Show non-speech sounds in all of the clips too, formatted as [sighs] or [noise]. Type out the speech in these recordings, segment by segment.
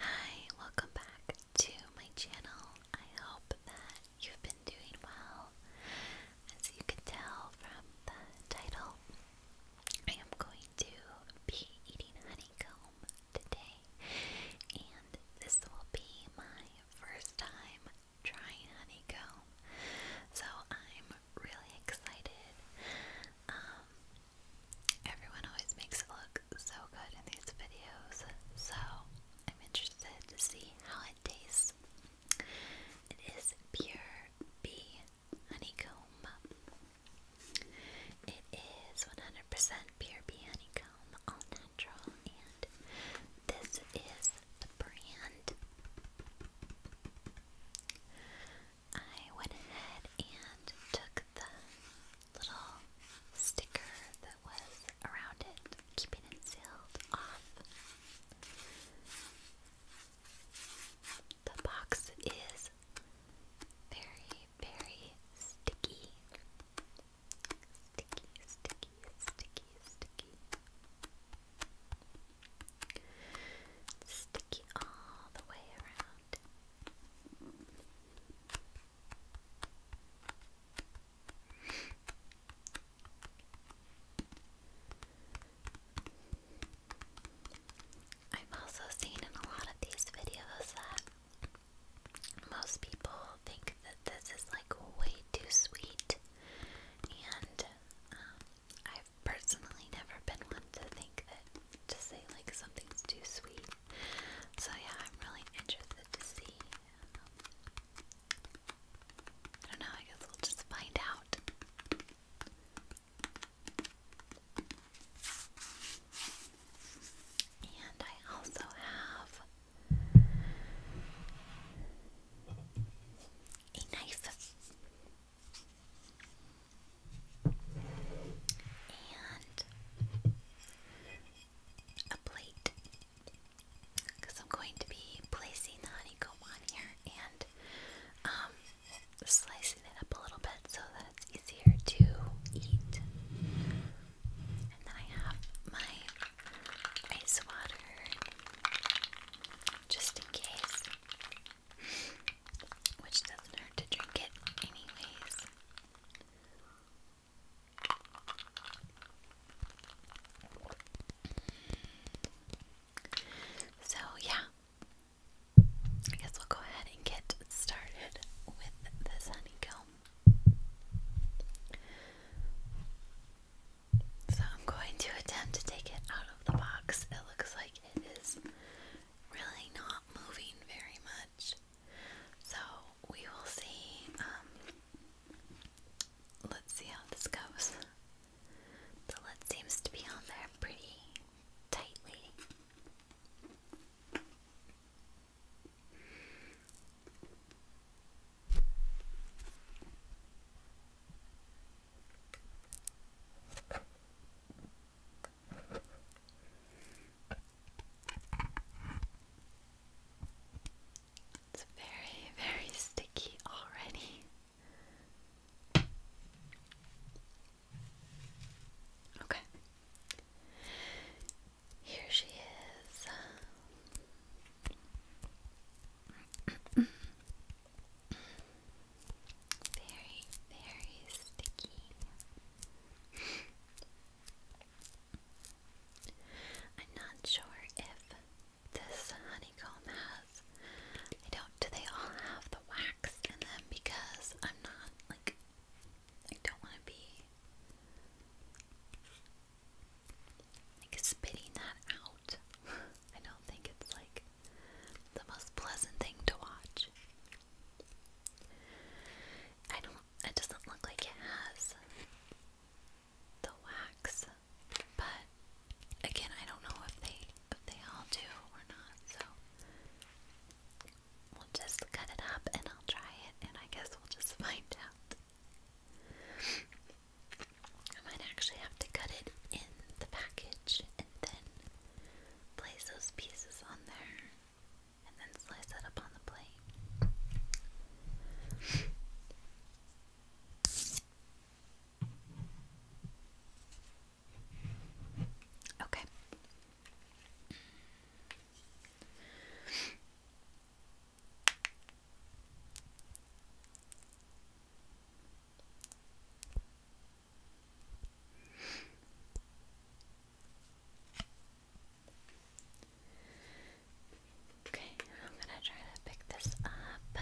Hi, welcome back to my channel. I hope that you've been doing well. As you can tell from the title, I am going to be eating honeycomb today, and this will be my first time trying honeycomb. So I'm really excited. Um, Everyone always makes it look so good in these videos, so I'm interested to see how it tastes. It is pure bee honeycomb. It is 100% pure bee honeycomb, all natural, and this is the brand. I went ahead and took the little sticker that was around it, keeping it sealed off. The box is very, very sticky. Sticky, sticky, sticky, sticky. Sticky all the way around. I've also seen in a lot of these videos that most people think that this is like way too sweet, and um, I've personally never been one to think that to say like something's too sweet. So yeah, I'm really interested to see. I don't know, I guess we'll just find out. And I also have a knife and a plate because I'm going to be placing the honeycomb on here and um, slicing it up a little bit so that it's easier to eat. And then I have my ice water just in case, which doesn't hurt to drink it anyways. So, yeah, I guess we'll go ahead and get started with this honeycomb. So, I'm going to attempt to take it out of the box. It looks like it is really not moving very much. So we will see. Um, let's see how this goes. The lid seems to be on there pretty tightly. It's very, very sticky already. Okay. Here she is. very, very sticky. I'm not sure if this honeycomb has. I don't. Do they all have the wax in them? Because I'm not like. I don't want to be like spitting that out. [laughs] I don't think it's like the most pleasant thing to watch. I don't, it doesn't look like it has the wax, but again, I don't know if they, if they all do or not, so we'll just cut it up and I'll try it and I guess we'll just [laughs] find out. I might actually have to cut it in the package and then place those pieces on there and then slice that up on the plate. Okay. Okay, I'm gonna try to pick this up.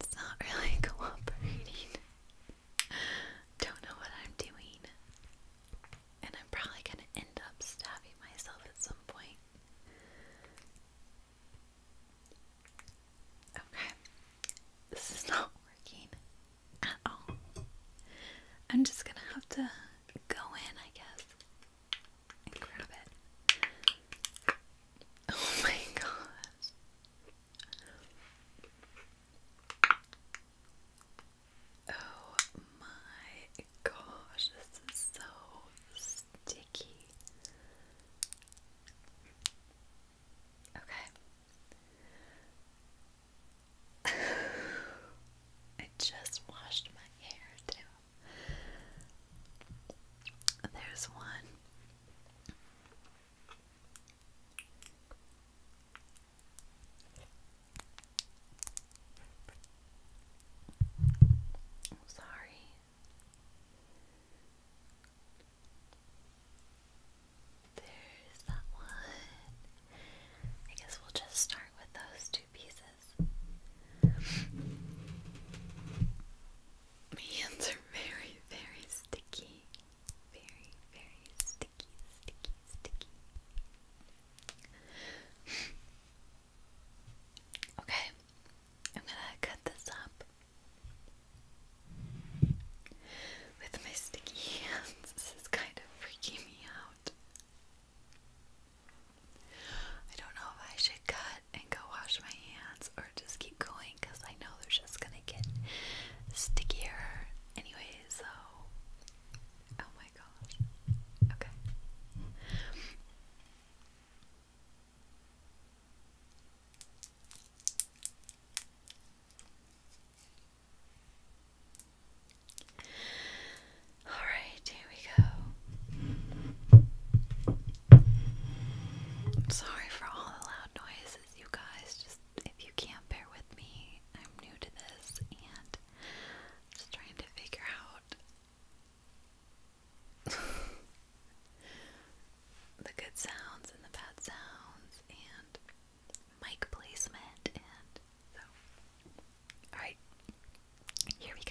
It's not really [laughs] cooperating. Don't know what I'm doing. And I'm probably gonna end up stabbing myself at some point. Okay, this is not working at all. I'm just gonna have to go in, I guess, and grab it. Oh my gosh. Oh my gosh, this is so sticky. Okay. [laughs] I just washed my hair too. There's one. sorry. There's that one. I guess we'll just start with those two pieces. My hands are very, very sticky. Very, very sticky, sticky, sticky. Okay, I'm gonna cut this up with my sticky hands, this is kind of freaking me out. I don't know if I should cut and go wash my hands or just keep going because I know they're just gonna get stickier anyway, so. Oh my gosh. Okay. All right, here we go. sorry for all the loud noises, you guys. Just if you can't bear with me, I'm new to this and just trying to figure out the good sounds and the bad sounds and mic placement and so alright, here we go.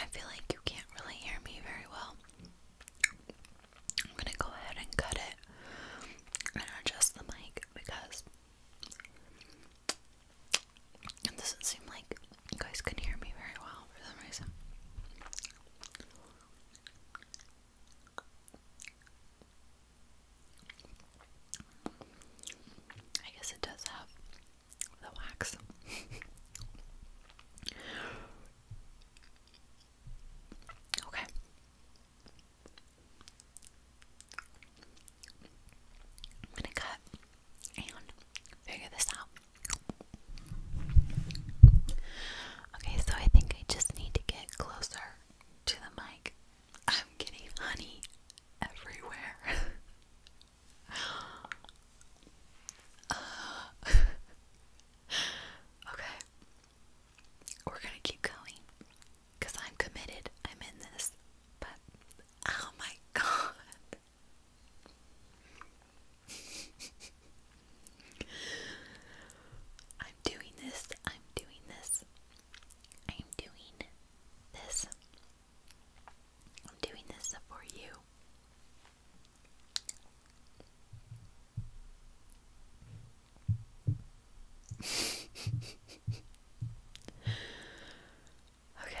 I feel like you can't really hear me very well. I'm gonna go ahead and cut it and adjust the mic because it doesn't seem like you guys can hear me very well for some reason. I guess it does have the wax. okay. I'm gonna cut and figure this out. Okay, so I think I just need to get closer to the mic. I'm getting honey everywhere. Uh, [laughs] okay. We're gonna keep going. Because I'm committed. I'm in this. But, oh my [laughs] god. [laughs] I'm doing this. I'm doing this. I'm doing this. I'm doing this for you. [laughs] okay.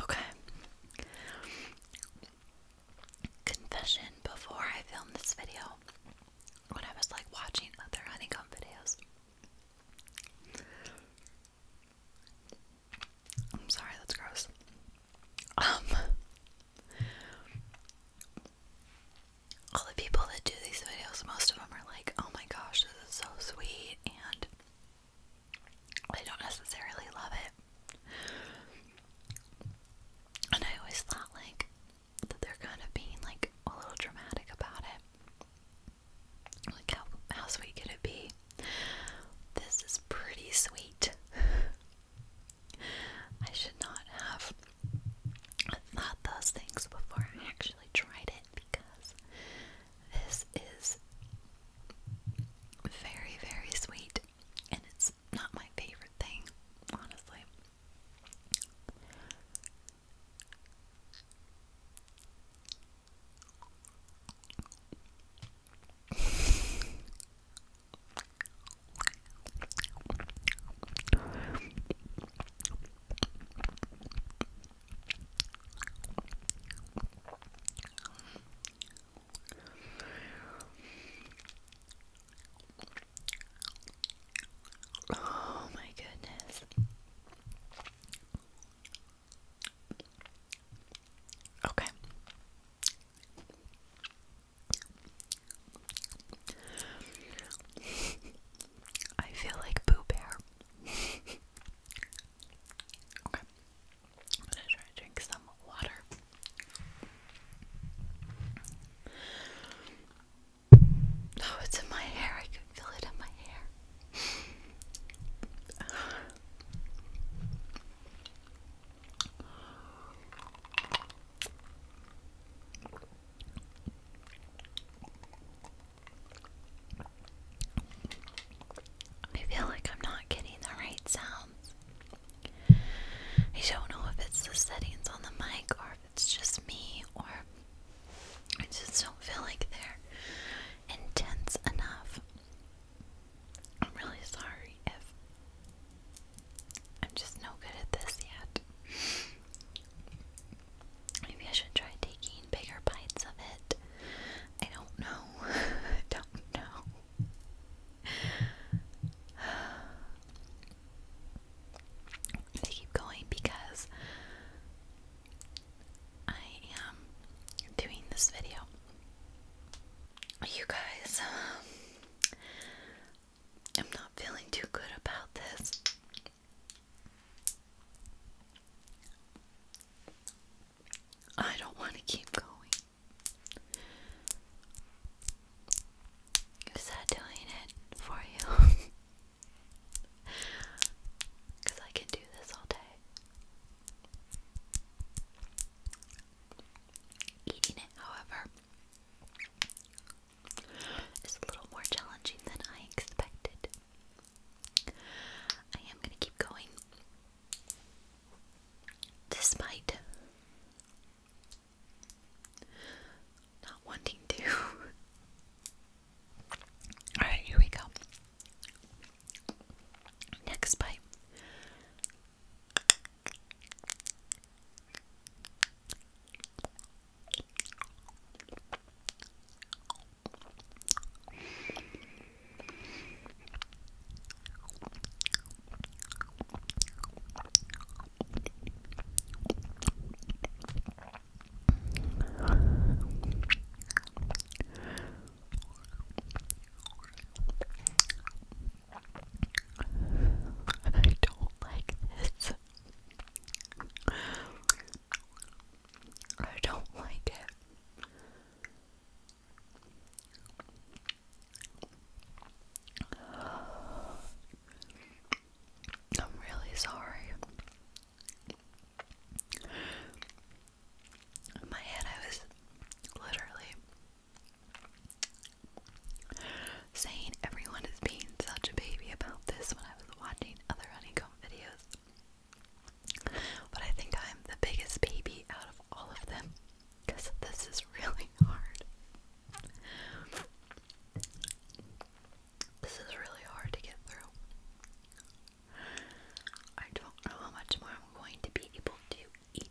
okay. Confession before I filmed this video, when I was like watching other honeycomb videos. I'm sorry, that's gross. Um, all the people that do these videos, most of them are like, oh my gosh, this is so sweet, and I don't necessarily love it. And I always thought, like, that they're kind of being, like, a little dramatic about it. Like, how, how sweet could it be? This is pretty sweet. [laughs] I should not have thought those things before I actually tried it because this is very, very sweet, and it's not my favorite thing, honestly. Oh, my goodness. Okay. [laughs] I feel like Boo Bear. [laughs] Okay. I'm gonna try to drink some water. Oh, it's in my hair. I can feel it in my hair. I feel like I'm not getting the right sounds. I don't know if it's the settings on the mic or if it's just me or I just don't feel like they're intense enough. I'm really sorry if I'm just no good at this yet. Maybe I should try taking bigger bites of it. I don't know. [laughs] I don't know. [sighs] to keep going because I am doing this video. You guys, um, [sighs] I'm not feeling too good about this. I don't want to keep going. Is that doing it for you? Because [laughs] I can do this all day. Eating it, however, is a little more challenging than I expected. I am going to keep going. Despite not wanting to. [laughs] Alright, here we go. Next bite. I don't like this. I don't like it. I'm really sorry. In my head, I was literally saying everyone is being such a baby about this when I was watching other honeycomb videos. But I think I'm the biggest baby out of all of them because this is really [laughs] hard. This is really hard to get through. I don't know how much more I'm going to be able to eat.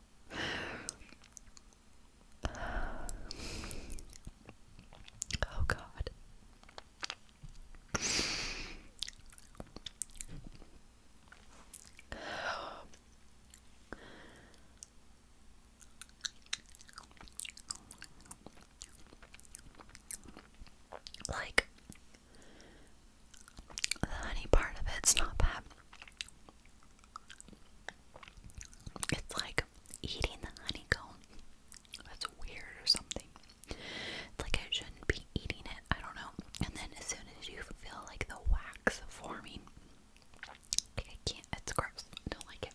Oh God. Like the honey part of it's not bad. It's like eating the honeycomb. That's weird or something. like I shouldn't be eating it. I don't know. And then as soon as you feel like the wax forming, I can't. It's gross. don't like it.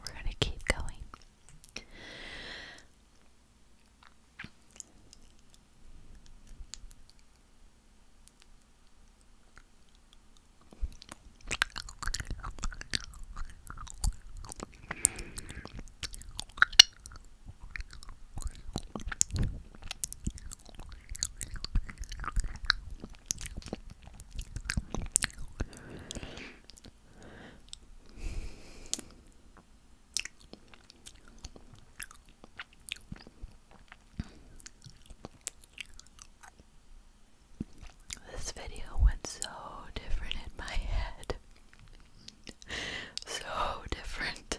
We're going to keep going. This video went so different in my head. So different.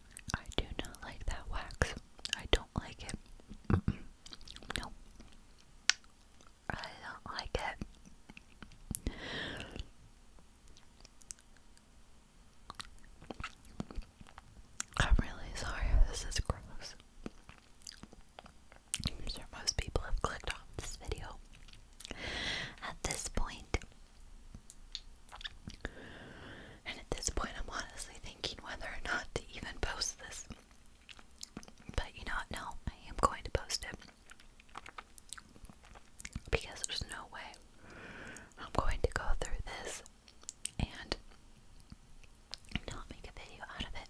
I do not like that wax. I don't like it. No. I don't like it. I'm really sorry. This is gross. I'm sure most people have clicked off this video. At this point, and at this point, I'm honestly thinking whether or not to even post this. But you know No, I am going to post it. Because there's no way I'm going to go through this and not make a video out of it.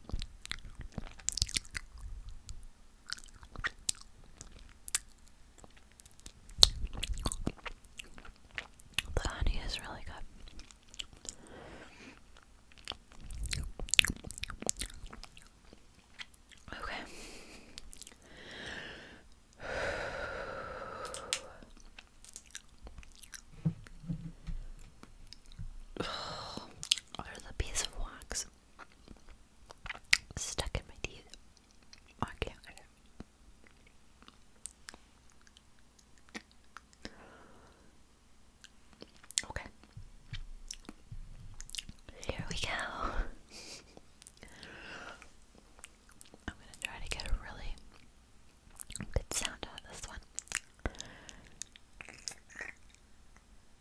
The honey is really good. Okay. Or [sighs] the piece of wax stuck in my teeth. Oh, okay. Here we go. [laughs] I'm gonna try to get a really good sound out this one.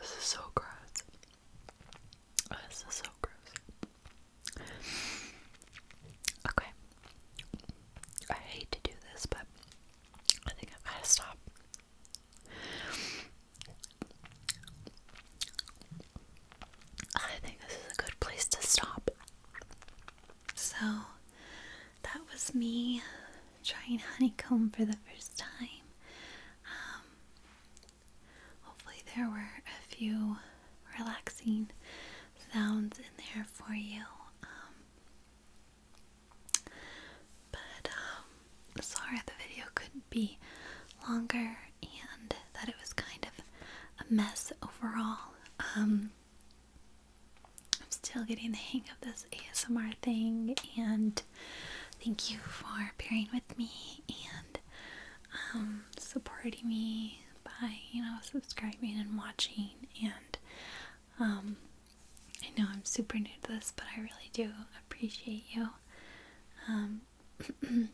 This is so gross. This is so gross. Okay. I hate to do this, but I think i have got to stop. I think this is a good place to stop. So that was me trying honeycomb for the first time. Um, hopefully, there were a few relaxing sounds in there for you. Um, but um, sorry the video couldn't be longer and that it was kind of a mess overall. Um, I'm still getting the hang of this ASMR thing, and thank you for bearing with me and um, supporting me by you know subscribing and watching. And um, I know I'm super new to this, but I really do appreciate you. I'm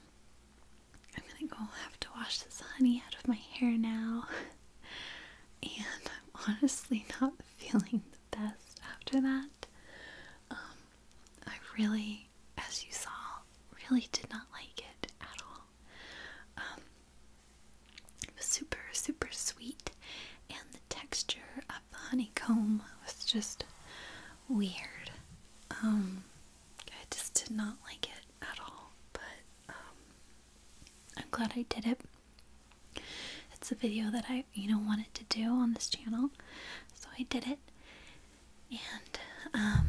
gonna go have to wash this honey out of my hair now. [laughs] and I'm honestly not feeling the best after that. Um, I really, as you saw, really did not like it at all. Um, it was super, super sweet, and the texture of the honeycomb was just weird. Um, I just did not like it at all, but um, I'm glad I did it. It's a video that I, you know, wanted to do on this channel, so I did it. And um,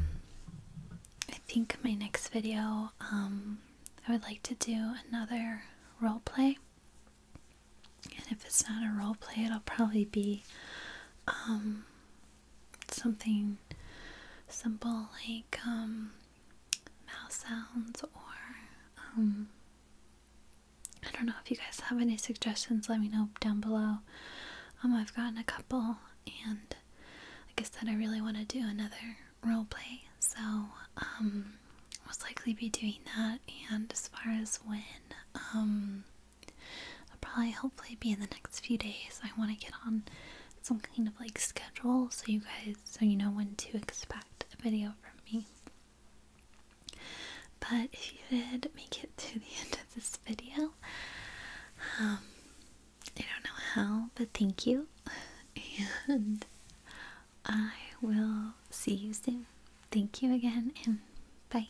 I think my next video, I would like to do another role play. And if it's not a role play, it'll probably be something simple like um, mouse sounds or um, I don't know if you guys have any suggestions, let me know down below. Um, I've gotten a couple, and like I said, I really want to do another role play, so um, most likely be doing that. And as far as when, I'll probably hopefully be in the next few days. I want to get on some kind of like schedule so you guys so you know when to expect a video from me. But if you did make it to the [laughs] end of this video, um, I don't know how, but thank you. And I will see you soon. Thank you again, and bye.